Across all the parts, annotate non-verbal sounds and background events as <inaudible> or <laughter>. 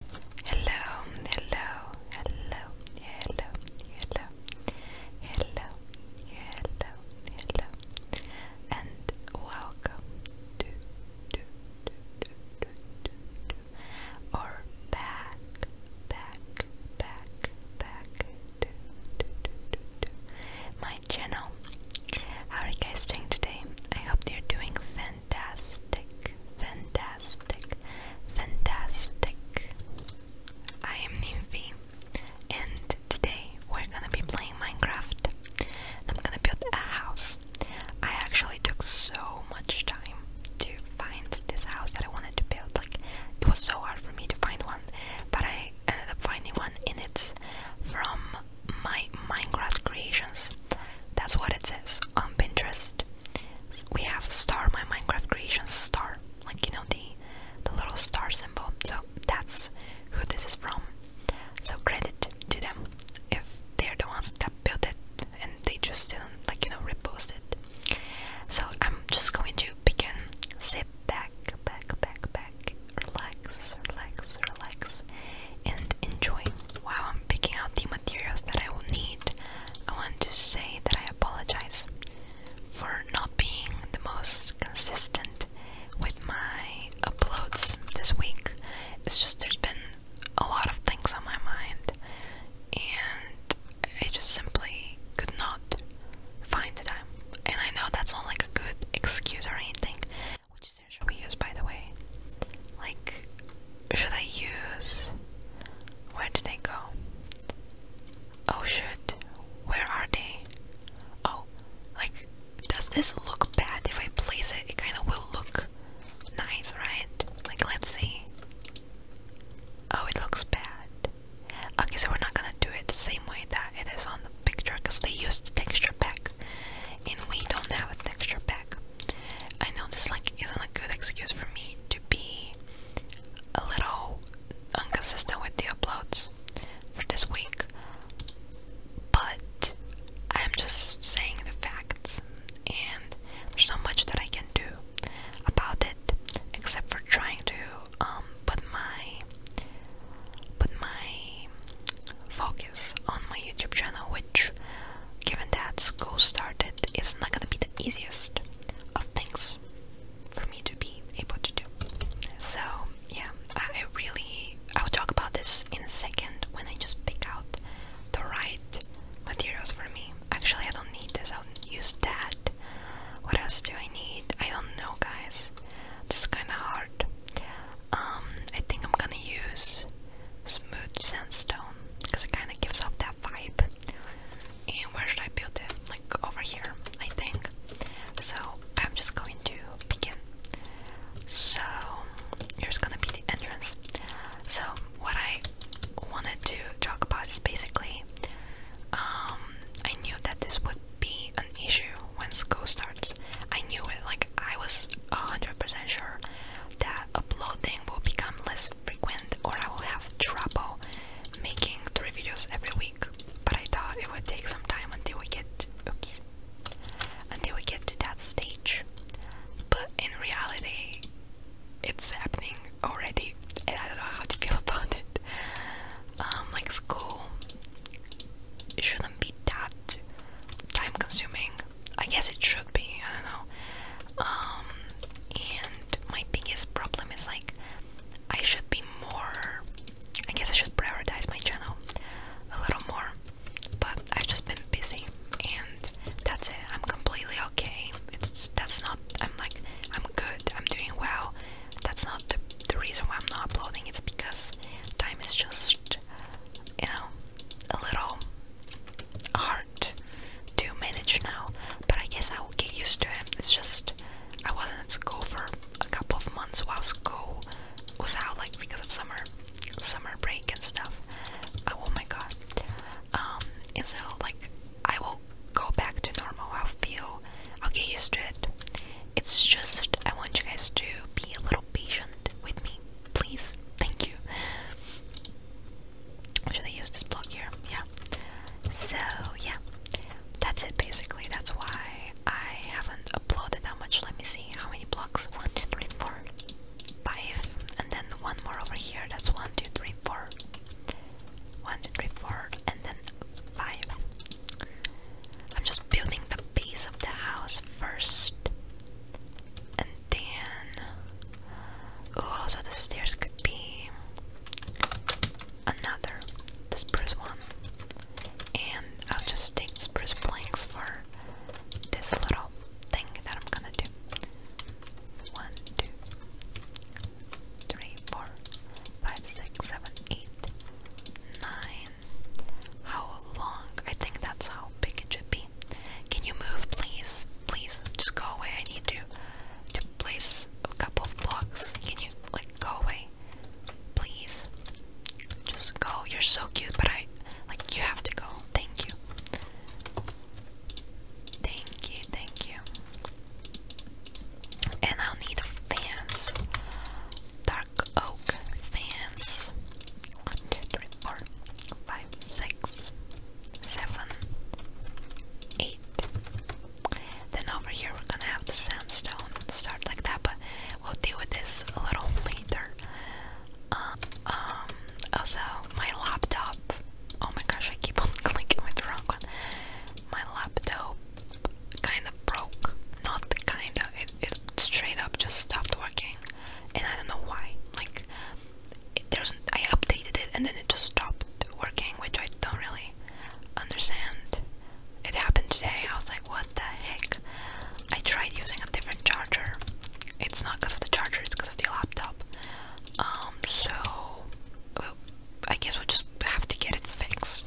Hello, hello, hello, hello, hello, hello, hello, hello, and welcome to, to, back, back, back, back my channel. How are you guys doing today? I hope you're doing fine fantastic, fantastic, fantastic. I am Nymphy, and today we're gonna be playing Minecraft. I'm gonna build a house. I actually took so much time to find this house that I wanted to build. Like, it was so hard for me to find one, but I ended up finding one, and it's from my Minecraft creations. That's what it says on Pinterest we have star, my Minecraft creation star, like you know the the little star symbol. So that's who this is from. So credit to them if they're the ones that built it and they just didn't like you know repost it. So I'm just going to begin. Sit back, back, back, back, relax, relax, relax, and enjoy. While I'm picking out the materials that I will need, I want to say that I apologize for not being the most consistent with my uploads this week. It's just there's been a lot of things on my mind, and I just simply could not find the time. And I know that's not like a good excuse or anything, which there should we use, by the way. Like, should I use? Where did they go? Oh shit, where are they? Oh, like, does this look bad if I place it? It kind of will look nice, right? Like, let's see. Oh, it looks bad. Okay, so we're not gonna do it the same way that it is on the picture because they used the texture pack and we don't have a texture pack. I know this like isn't a good excuse for me to be a little inconsistent with the uploads for this week, but I'm just saying the facts, and there's not much that I can do about it except for trying to um put my put my focus on my YouTube channel, which given that school started, it's not gonna be the easiest of things for me to be able to do. So yeah, I really I'll talk about this in a second when I just pick out the right materials for me. Actually, I don't need this. I'll use that. What else do I need? I don't know, guys. This is kind of hard. Um, I think I'm gonna use smooth sandstone because it kind of gives off that vibe. And where should I build it? Like over here, I think. So I'm just going to begin. So there's gonna be the entrance. So what I wanted to talk about is basically um, I knew that this would be an issue when school starts. I knew it. Like I was 100% sure that uploading will become less frequent or I will have trouble making three videos every week. But I thought it would take some time until we get oops until we get to that stage. But in reality it's happening already and I don't know how to feel <laughs> about it. Um like school shouldn't be that time consuming I guess it should be, I don't know. Um, and my biggest problem is like, I should be more. I guess I should prioritize my channel a little more, but I've just been busy, and that's it. I'm completely okay. It's that's not. I'm like, I'm good. I'm doing well. That's not the the reason why I'm not uploading. It's because time is just, you know, a little hard to manage now, but I guess I will get used to it. It's just I wasn't at school for a couple of months while school was out, like because of summer, summer break and stuff. Oh, oh my god! Um, and so like I will go back to normal. I'll feel I'll get used to it. It's just I want you guys to be a little patient with me, please. Thank you. Should I use this block here? Yeah. So, yeah. That's it basically. That's why I haven't uploaded that much. Let me see. How many blocks? One, two, three, four, five, And then one more over here. That's one, two, three, four, one, two, three, four, And then 5. I'm just building the base of the house first. Dan. Oh, also the stairs could be another this spruce one. And I'll just take spruce planks for this little thing that I'm gonna do. One, two, three, four, five, six, seven, eight, nine. How long? I think that's how big it should be. Can you move, please? Please, just go away. I need to to place a couple of blocks. Can you like go away? Please, just go. You're so cute, but I like you have to go. Thank you. Thank you, thank you. And I'll need fans. Dark oak fans. One, two, three, four, five five, six, seven, eight. Then over here we're gonna have the sandstone start like that, but we'll deal with this a little <laughs> later. Um, um, also, my laptop. Oh my gosh, I keep <laughs> on clicking with the wrong one. My laptop kind of broke. Not kind of. It, it straight up just stopped working, and I don't know why. Like, there's I updated it and then it just stopped working, which I don't really understand. It happened today. I was like, what the heck? I tried using a different charger. It's not because of the charger, it's because of the laptop. Um, so uh, I guess we'll just have to get it fixed.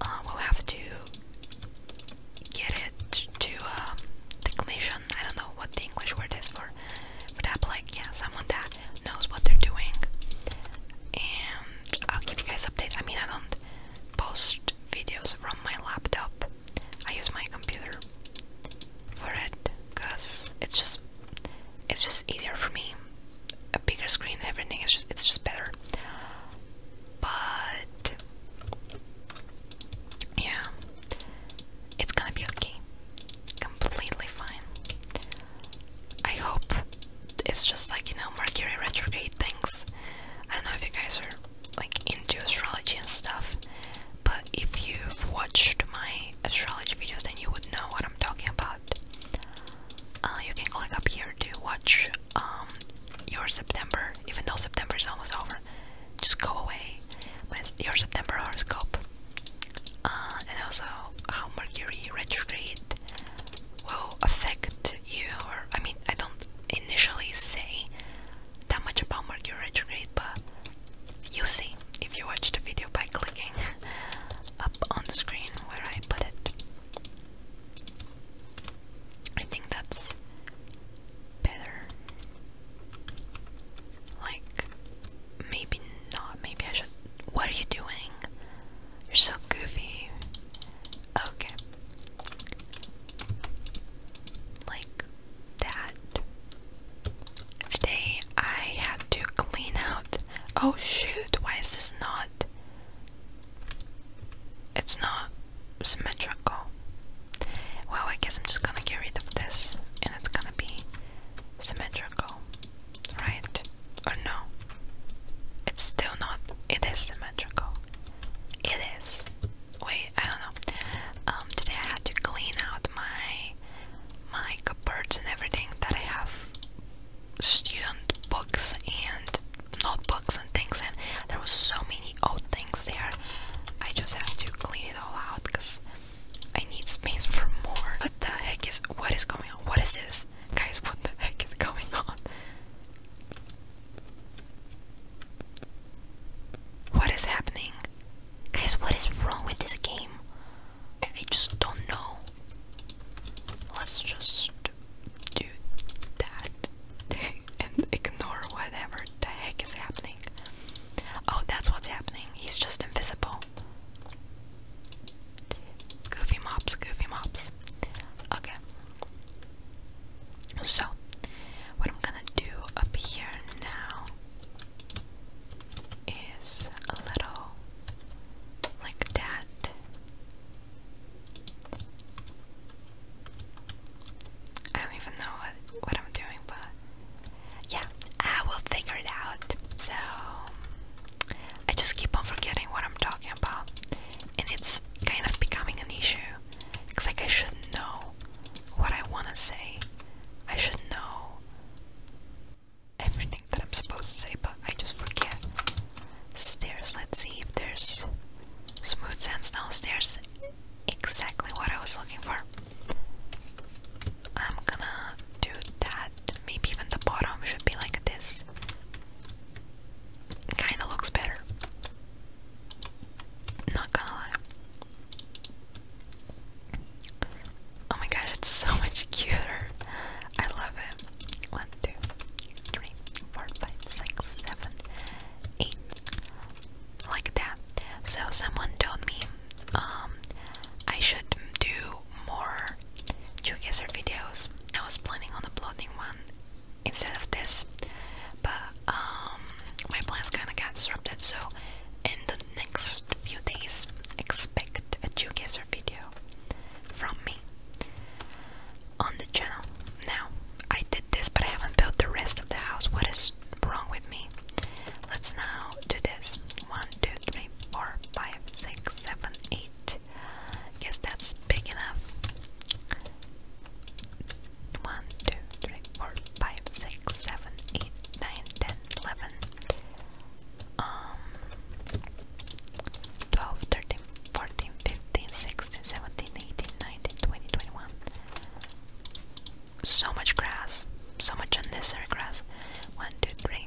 Uh, we'll have to get it to a um, I don't know what the English word is for, for that. like, yeah, someone that knows what they're doing. And I'll keep you guys updated. I mean, I don't post videos from my laptop, I use my computer for it because it's just it's just easier for me a bigger screen everything is just it's just better but yeah it's gonna be okay completely fine. I hope it's just like you know Mercury retrograde things. I don't know if you guys are like into astrology and stuff, but if you've watched my astrology videos, then you would know what I'm talking about. Uh, you can click up here to watch um, your September, even though September is almost over. Just go away with your September horoscope. Uh, and also how Mercury retrograde will affect you. Or I mean, I don't initially say that much about Mercury retrograde, but you see if you watch the video by clicking <laughs> up on the screen where I put it. I think that's better. Like, maybe not. Maybe I should. What are you doing? You're so goofy. Okay. Like that. Today I had to clean out. Oh shoot, why is this not? It's not symmetrical. Well, I guess I'm just gonna get rid of this and it's gonna be symmetrical right? Or no? It's still not. It is symmetrical. It is. Wait, I don't know. Um, today I had to clean out my my cupboards and everything that I have student books and notebooks and things, and there was so many old things there. I just had to clean it all out because I need space for more. What the heck is, what is going on? What is this? Guys, what the heck is going on? What is happening? Guys, what is wrong with this game? I, just don't know. Let's just do that <laughs> and ignore whatever the heck is happening. Oh, that's what's happening. He's just invisible. Goofy mops, goofy mops. Okay. So, what I'm gonna do up here now is a little like that. I don't even know what, what I'm doing, but yeah, I will figure it out. So, I just keep on forgetting what I'm talking about, and it's kind of becoming an issue. It's like I should know what I want to say, I should know everything that I'm supposed to say, but I just forget. Stairs, let's see if there's smooth sands downstairs. Exactly what I was looking for. I'm gonna do that. Maybe even the bottom should be like this. Kinda looks better. Not gonna lie. Oh my gosh, it's so <laughs> much cuter. I love it. 1, Like that. So, someone told me um, I should do more geoguesser videos. I was planning on uploading one instead of this, but um, my plans kinda got disrupted, so in the next few days, expect a geoguesser video from me on the channel. Now, I did this, but I haven't built the rest of the house. What is wrong with me? Let's now do this. One, two, three five, four, five, six, seven, eight. Guess that's big enough. One, two, three, four, five, six, seven, eight, nine, ten, eleven. So much grass, so much unnecessary grass. One, two, three.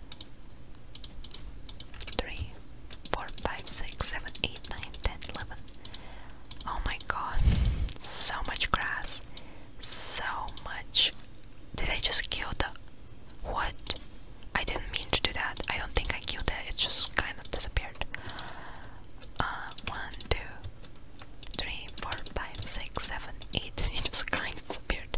3, Oh my god, so much grass. So much. Did I just kill the. What? I didn't mean to do that. I don't think I killed it, it just kind of disappeared. Uh, 1, <laughs> It just kind of disappeared.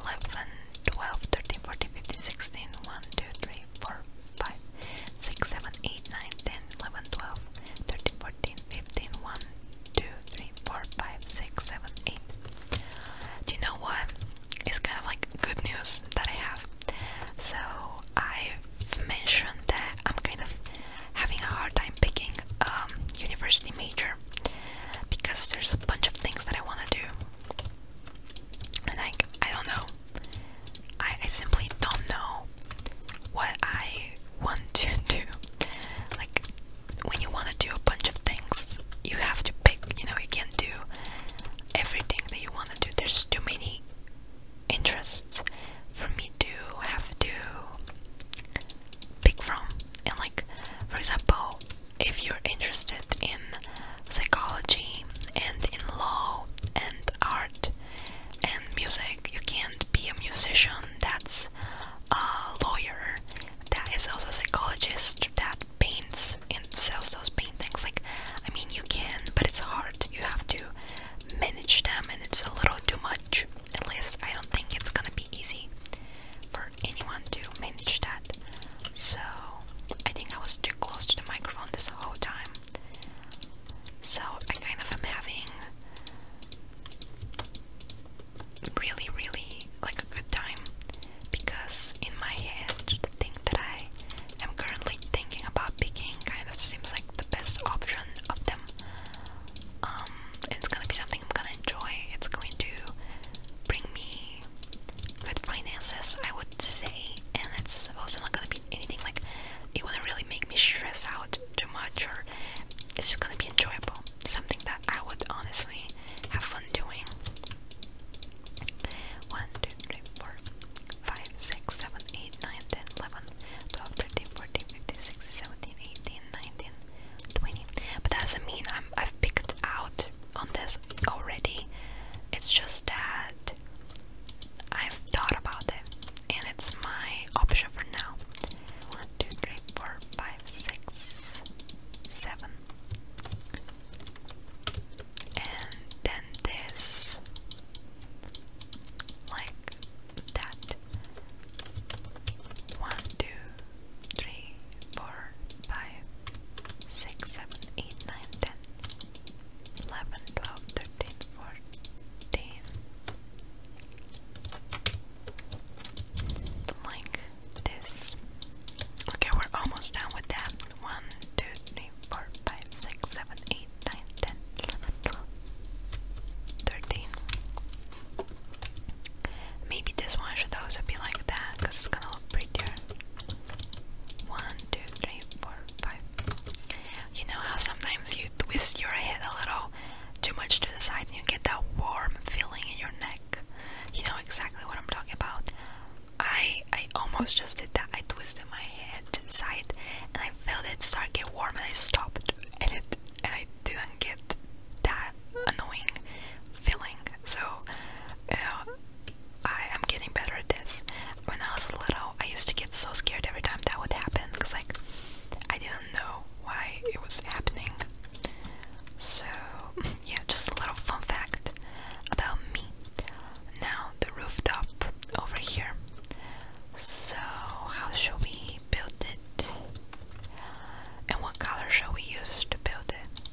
11, 12, 13, 14, 15, 16, 1, 2, 3, 4, 5, 6, 7, 8, 9, 10, 11, 12, 13, 14, 15, 1, 2, 3, 4, 5, 6, 7, 8. Do you know what? It's kind of like good news that I have. So I've mentioned that I'm kind of having a hard time picking a um, university major because there's a bunch of things that I want to do. And like, I don't know. I, I simply don't know what I want <laughs> to do. Like, when you want to do a bunch of things, you have to pick, you know, you can't do everything that you want to do. There's too many interests for me to have to pick from. And like, for example, if you're interested in psychology and in law and art and music, you can't be a musician that's a lawyer, that is also a psychologist, that paints and sells those paintings. Like, I mean, you can, but it's hard. You have to manage them, and it's a little too much. At least I don't think it's gonna be easy for anyone to manage that. So I think I was too close to the microphone this whole time. So I kind of am having really, really like a good time because in my head the thing that I am currently thinking about picking kind of seems like the best option of them. Um, it's gonna be something. I'm gonna enjoy. It's going to bring me good finances, I would say, and it's also not gonna be anything like it wouldn't really make me stress out too much, or it's just gonna be enjoyable. Something that I would honestly have fun doing. 1, 20. But that doesn't mean i have picked out on this already. It's just that I've thought about it and it's my option for now. 1, And then this, like that. One, two, three, four, five, six, seven, eight, nine, ten, eleven, twelve, thirteen, fourteen. Like this. Okay, we're almost done with that. One, two, three, four, five, six, seven, eight, nine, ten, eleven, twelve, thirteen. Maybe this one should also be like that, because it's gonna look prettier. One, two, three, four, five. You know how sometimes you twist your head a little too much to the side and you get that warm feeling in your neck? You know exactly what I'm talking about. I I almost just did that. I twisted my head to the side and I felt it start to get warm and I stopped and it and I didn't get that annoying feeling. So uh, I am getting better at this. When I was little, I used to get so scared every time that would happen because, like, I didn't know why it was happening. So, <laughs> yeah, just a little fun fact about me. Now, the rooftop over here. So, how should we build it? And what color shall we use to build it?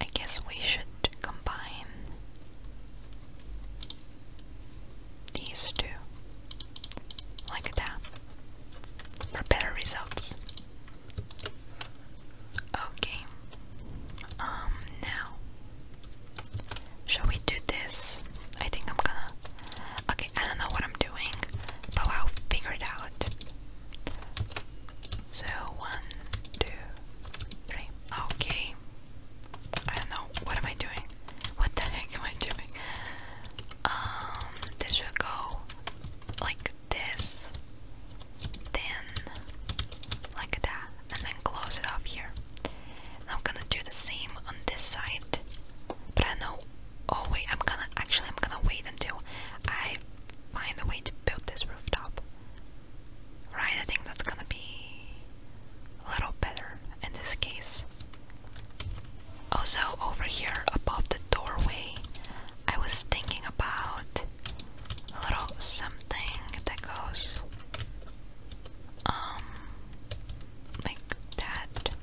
I guess we should combine these two like that for better results. Okay. Um now shall we do this? I think I'm gonna Okay, I don't know what I'm doing, but I'll figure it out. So, one, two, three. Okay. I don't know. What am I doing? What the heck am I doing? Um, this should go like this, then like that, and then close it off here. I'm gonna do the same on this side, but I know Oh wait, I'm gonna actually I'm gonna wait until I find a way to build this rooftop. Right, I think that's gonna be a little better in this case. Also over here above the doorway, I was thinking about a little something that goes um like that.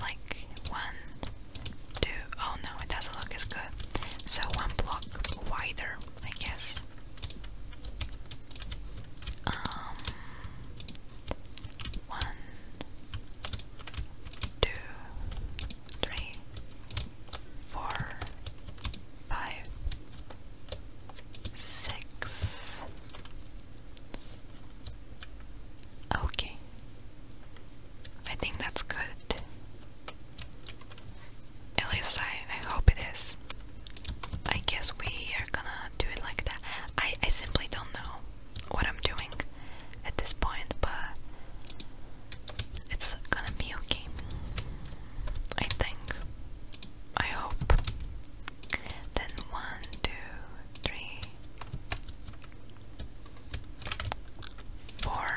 Like one do oh no it doesn't look as good so one block wider I guess um one two three four five six Okay, I think that's good. At least I, I hope it is. I guess we are gonna do it like that. I, I simply don't know what I'm doing at this point, but it's gonna be okay. I think. I hope. Then one, two, three, four,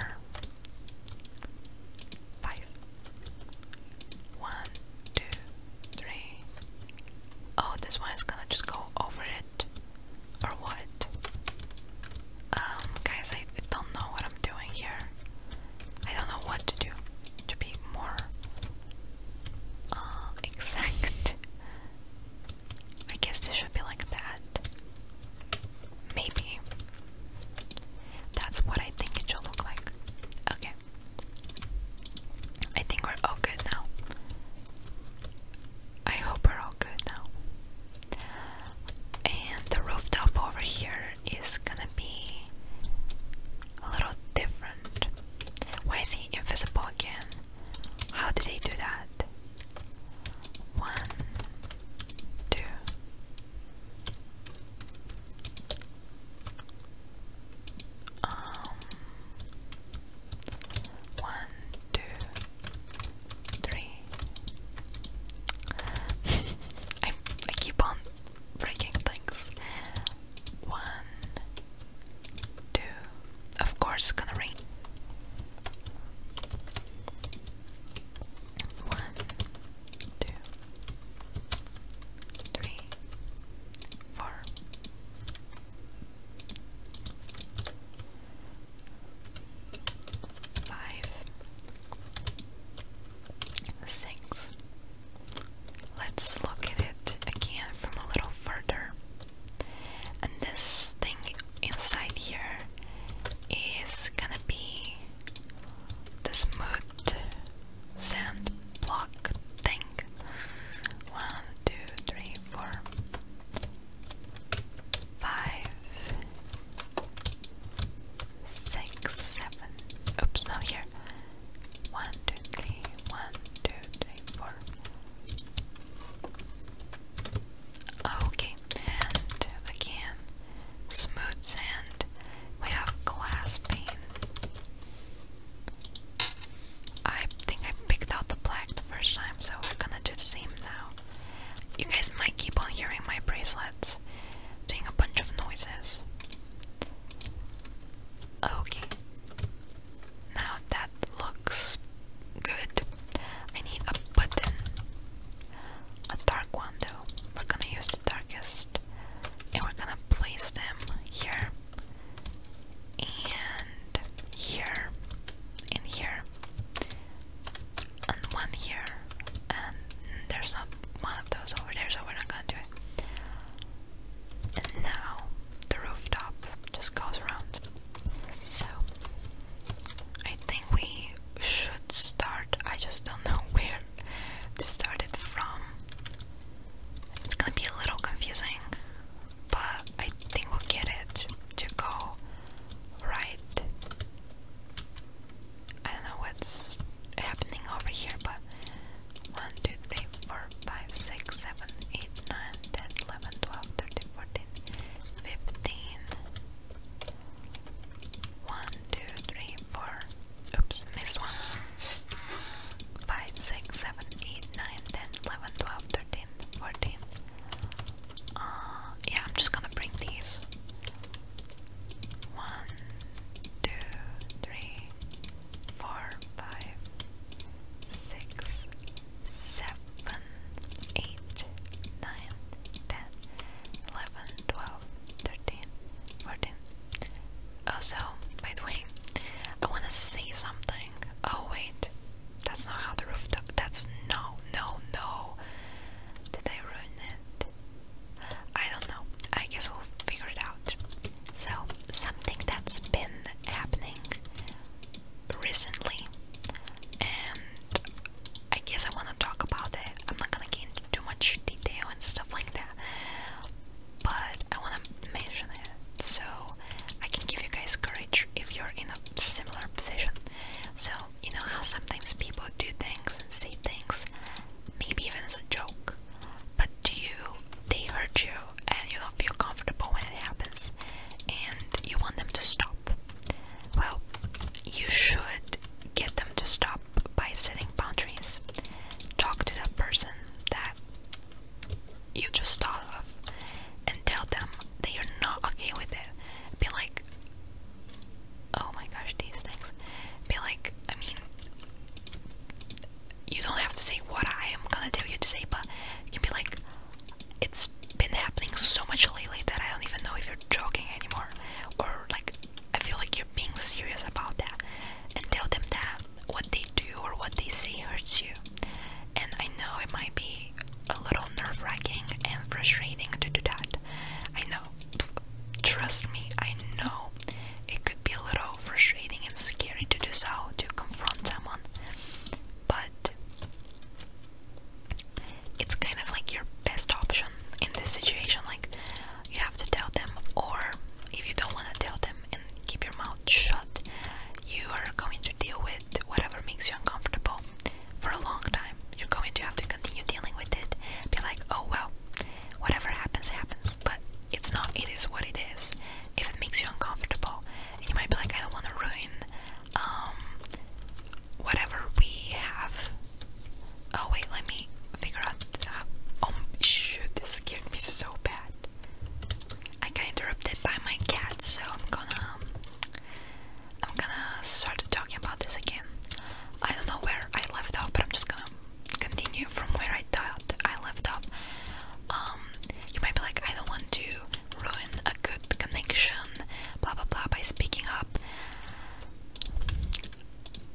five. Oh, this one is gonna just go over it, or what? Um, guys, I don't know what I'm doing here. I don't know what to do to be more uh, <laughs> exact. I guess this should be like that. Maybe. That's what I think it should look like. Okay. I think we're all good now. I hope we're all good now. And the rooftop over here is gonna be a little different. Why is he invisible again? How did he do that? One, two. Um, one, two, three. <laughs> I, I keep on breaking things. One, two, of course, it's gonna rain. One, Five, six. Let's look at it again from a little further and this thing inside here is gonna be the smooth sand block thing. One, two, three, four, five, six, seven. Oops, not here. One, two, three, four. Okay, and again, smooth sand. We have glass pane. I think I picked out the black the first time, so we're gonna do the same now. You guys might keep on hearing my bracelets doing a bunch of noises. Okay. Now that looks good. I need a button. A dark one though. We're gonna use the darkest and we're gonna place them here and here and here and one here and there's not one of those over there so we're not gonna do it. And now the rooftop just goes around. So, I think we should start. I just don't know <laughs> where to start it from. It's gonna be a little confusing, but I think we'll get it to go right. I know what's happening over here, but 1, fifteen. One, two, three, four. Oops, missed one. Five, six, seven, eight, nine, ten, eleven, twelve, thirteen, fourteen. Uh, yeah, I'm just gonna bring these. One, two, three, four, five, six, seven, eight, nine, ten, eleven, twelve, thirteen, fourteen. Also, oh, by the way, I wanna say something. Oh wait, that's not how the rooftop. That's no, no, no. Did I ruin it? I don't know. I guess we'll figure it out. So, something that's been happening recently, and I guess I want to talk about it. I'm not gonna get into too much detail and stuff like that, but I want to mention it so I can give you guys courage if you're in a similar position. So, you know how sometimes people do things and say things, maybe even as a joke, but do you, they hurt you and you don't feel comfortable when it happens and you want them to stop. Well, you should get them to stop by setting boundaries. Talk to that person that you just thought of and tell them they are not okay with it. Be like, oh my gosh, these things. Be like, I mean, you don't have to say what I am gonna tell you to say, but you can be like, it's been happening so much lately that I don't even know if you're joking anymore or like I feel like you're being serious about that and tell them that what they do or what they say hurts you. And I know it might be a little nerve wracking and frustrating to do that. I know. Trust me, I know it could be a little frustrating and scary to do so, to confront someone. But it's kind of like your best option in this situation. Like, you have to tell them, or if you don't want to tell them and keep your mouth shut, you are going to deal with whatever makes you uncomfortable for a long time. You're going to have to continue dealing with it. Be like, oh well, whatever happens, happens. But it's not, it is what it is. If it makes you uncomfortable, and you might be like, I don't want to ruin um, whatever we have. Oh wait, let me figure out oh shoot, this scared me so bad. I got interrupted by my cat, so I'm gonna um, I'm gonna start talking about this again. I don't know where I left off, but I'm just gonna continue from where I thought I left off. Um, you might be like, I don't want to ruin a good connection, blah blah blah, by speaking up.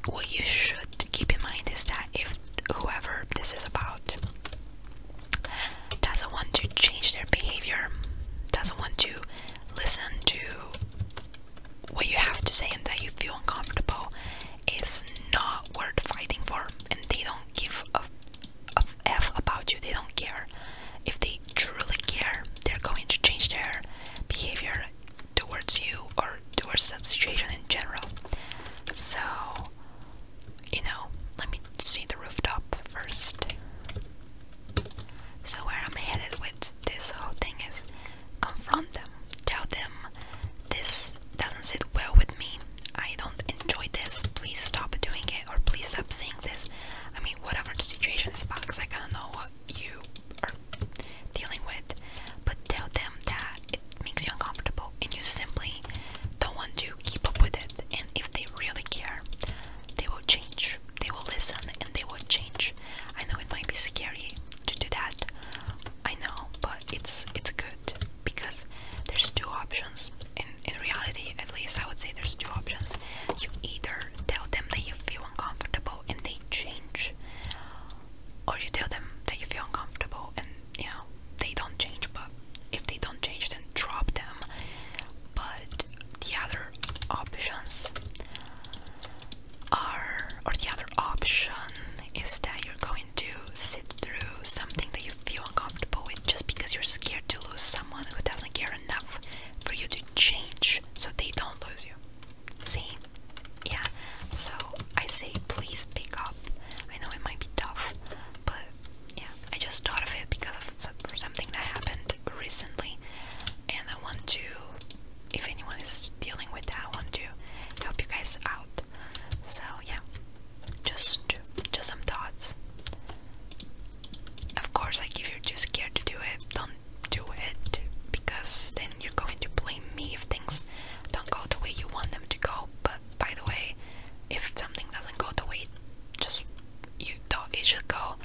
What you should keep in mind is that if whoever this is about doesn't want to change their behavior, doesn't want to listen to what you have to say and that you feel uncomfortable, it's not worth fighting for, and they don't give a f about you. They don't care if they truly care, they're going to change their behavior towards you or towards the situation in general. So, you know, let me see the rooftop first. So, where I'm headed with this whole thing is confront them, tell them this doesn't sit well with me, I don't enjoy this, please stop doing it, or please stop saying this. I mean, whatever the situation is about, because I kind of know what you are dealing with, but tell them that it makes you uncomfortable and you simply don't want to keep up with it. And if they really care, they will change, they will listen, and they will change. I know it might be scary to do that, I know, but it's it's good because there's two options. In in reality, at least I would say there's two options. You either tell them that you feel uncomfortable and they change, or you tell them that you feel uncomfortable and you know they don't change. But if they don't change, then drop them. But the other options are, or the other option is that you're going to sit through something that you feel uncomfortable with just because you're scared to lose someone who doesn't care enough for you to change so they don't lose you. See? Yeah. So I say please pick up. I know it might be tough, but yeah, I just thought of it because of something that happened recently, and I want to, if anyone is dealing with that, I want to help you guys out. So yeah, just just some thoughts. Of course, like if you're too scared to do it, don't do it because then you're going to blame me if things don't go the way you want them to go. But by the way, if something doesn't go the way just you thought it should go,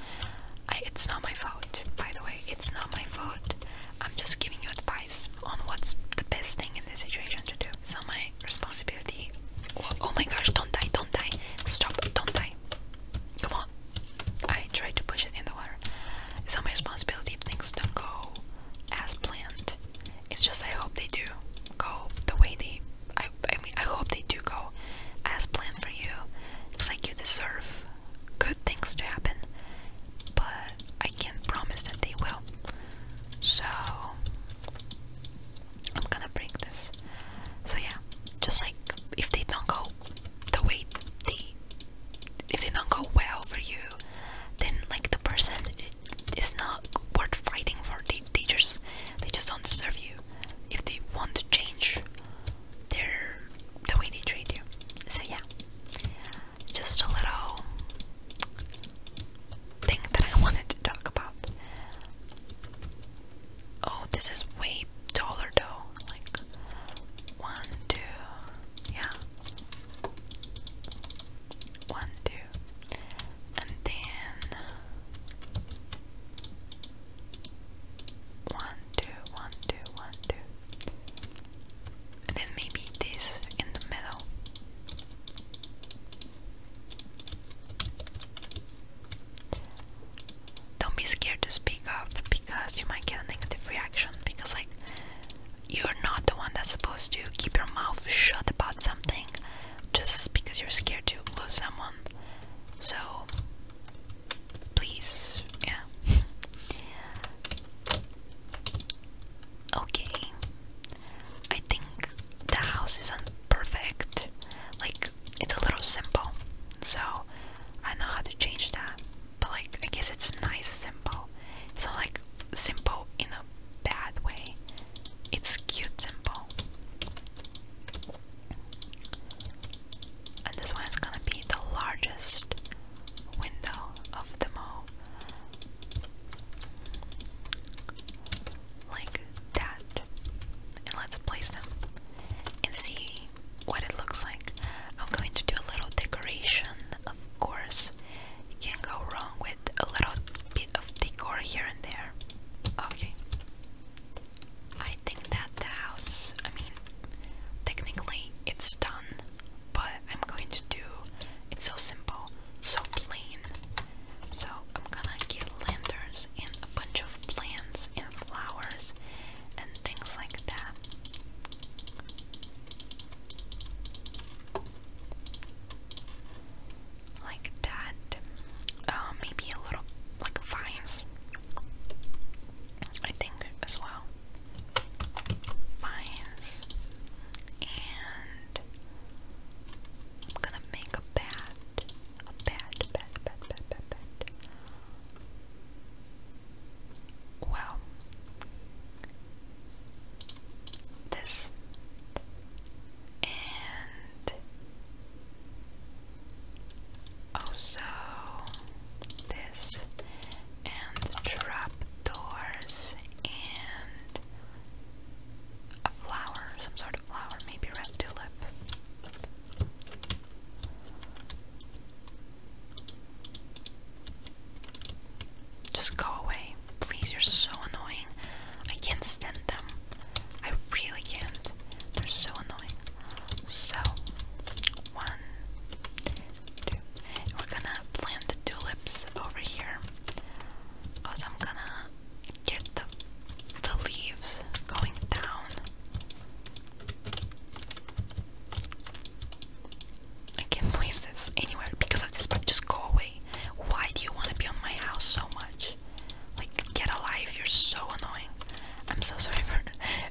I, it's not my fault. By the way, it's not my fault. I'm just giving you advice on what's the best thing in this situation to do. So my responsibility. Oh, oh my gosh, don't die, don't die. Stop, don't die. Come on. I tried to push it in the water. It's not my responsibility if things don't go as planned. It's just I hope they do go the way they. I, I mean, I hope they do go as planned for you. It's like you deserve good things to happen, but I can't promise that they will. So, I'm gonna break this. So, yeah, just like if they don't go the way they if they don't go well for you then like the person is not worth fighting for they, just they just don't deserve you if they want to change their the way they treat you so yeah just a little thing that I <laughs> wanted to talk about Oh, this is way taller though. Like one, two, yeah. One, two, and then one, two, one, two, one, two. And then maybe this in the middle. Don't be scared to speak up because you might get a negative reaction because, like, you're not the one that's supposed to keep your mouth shut about something just because you're scared to lose someone. So, please, yeah. okay. I think the house isn't perfect. Like, it's a little simple. So I know how to change that. But like I guess it's nice simple. So like simple in a bad way. It's cute simple. And this one is gonna be the largest window of them all. Like that. And let's place them and see what it looks like. I'm going to do a little decoration, of course. You can go wrong with a little bit of decor here and there. Okay. I think that the house, I mean, technically it's done, but I'm going to do it's so simple, so plain. So I'm gonna get lanterns and a bunch of plants and flowers and things like that. Like that. Oh, maybe a little like vines. I think as well. Vines. And I'm gonna make a bed. A bed, Wow. This. And also oh, this and trap and a flower, some sort of flower, maybe red tulip. Just go away. Please, you're so annoying. I can't stand them. I really can't. They're so annoying. So, one, two. we're gonna plant the tulips over here. Also, I'm gonna get the, the leaves going down. I can't place this anywhere because of this, but just go away. Why do you want to be on my house so much? Like, get alive, you're so annoying. I'm so <laughs> sorry for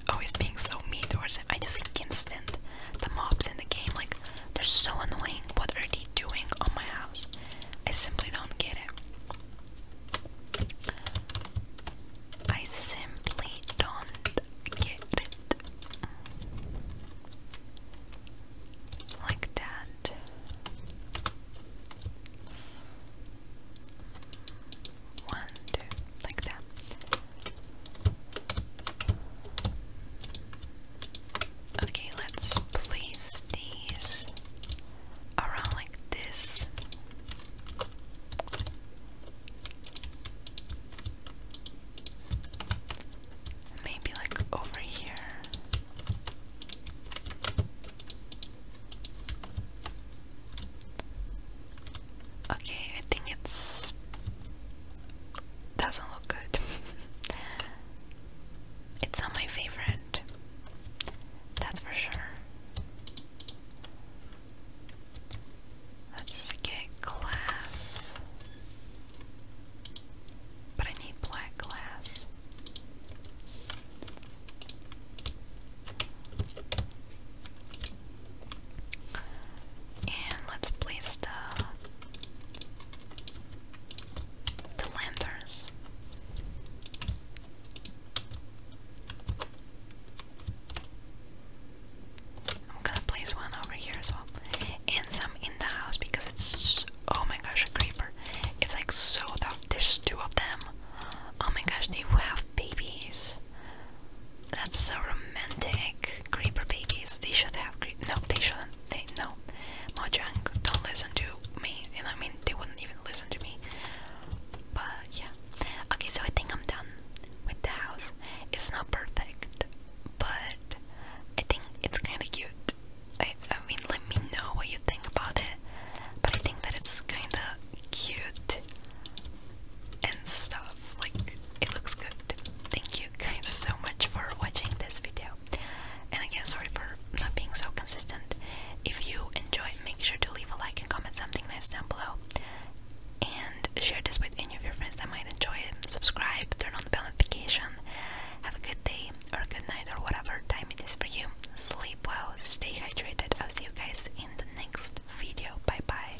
always being so mean towards him. I just can't stand the mobs in the game. Like, they're so annoying. What are they doing on my house? I simply don't get it. I simply don't get it. Like that. One, two, like that. Okay, let's place these around like this. Maybe like over here. Okay, I think it's doesn't look good. <laughs> it's not my favorite. That's for sure. Let's get glass. But I need black glass. And let's place the the lanterns. I'm gonna place one over here as well. And some in the house because it's. Oh my gosh, a creeper. It's like so dark. There's two of them. Oh my gosh, they will have babies. That's so romantic. Creeper babies. They should have. creeper. no, they shouldn't. They No. Mojang, don't listen to me. And I mean, they wouldn't even listen to me. But yeah, Okay, so I think I'm done with the house. It's not perfect, but I think it's kind of cute. I, mean, let me know what you think about it, but I think that it's kind of cute and stuff. Like, it looks good. Thank you guys so much for watching this video. And again, sorry for not being so consistent. If you enjoyed, make sure to leave a like and comment something nice down below and share this with any of your friends that might enjoy it. Subscribe, turn on the bell notification. Have a good day or a good night or whatever time it is for you. Sleep well, stay hydrated. I'll see you guys in the next video. Bye bye.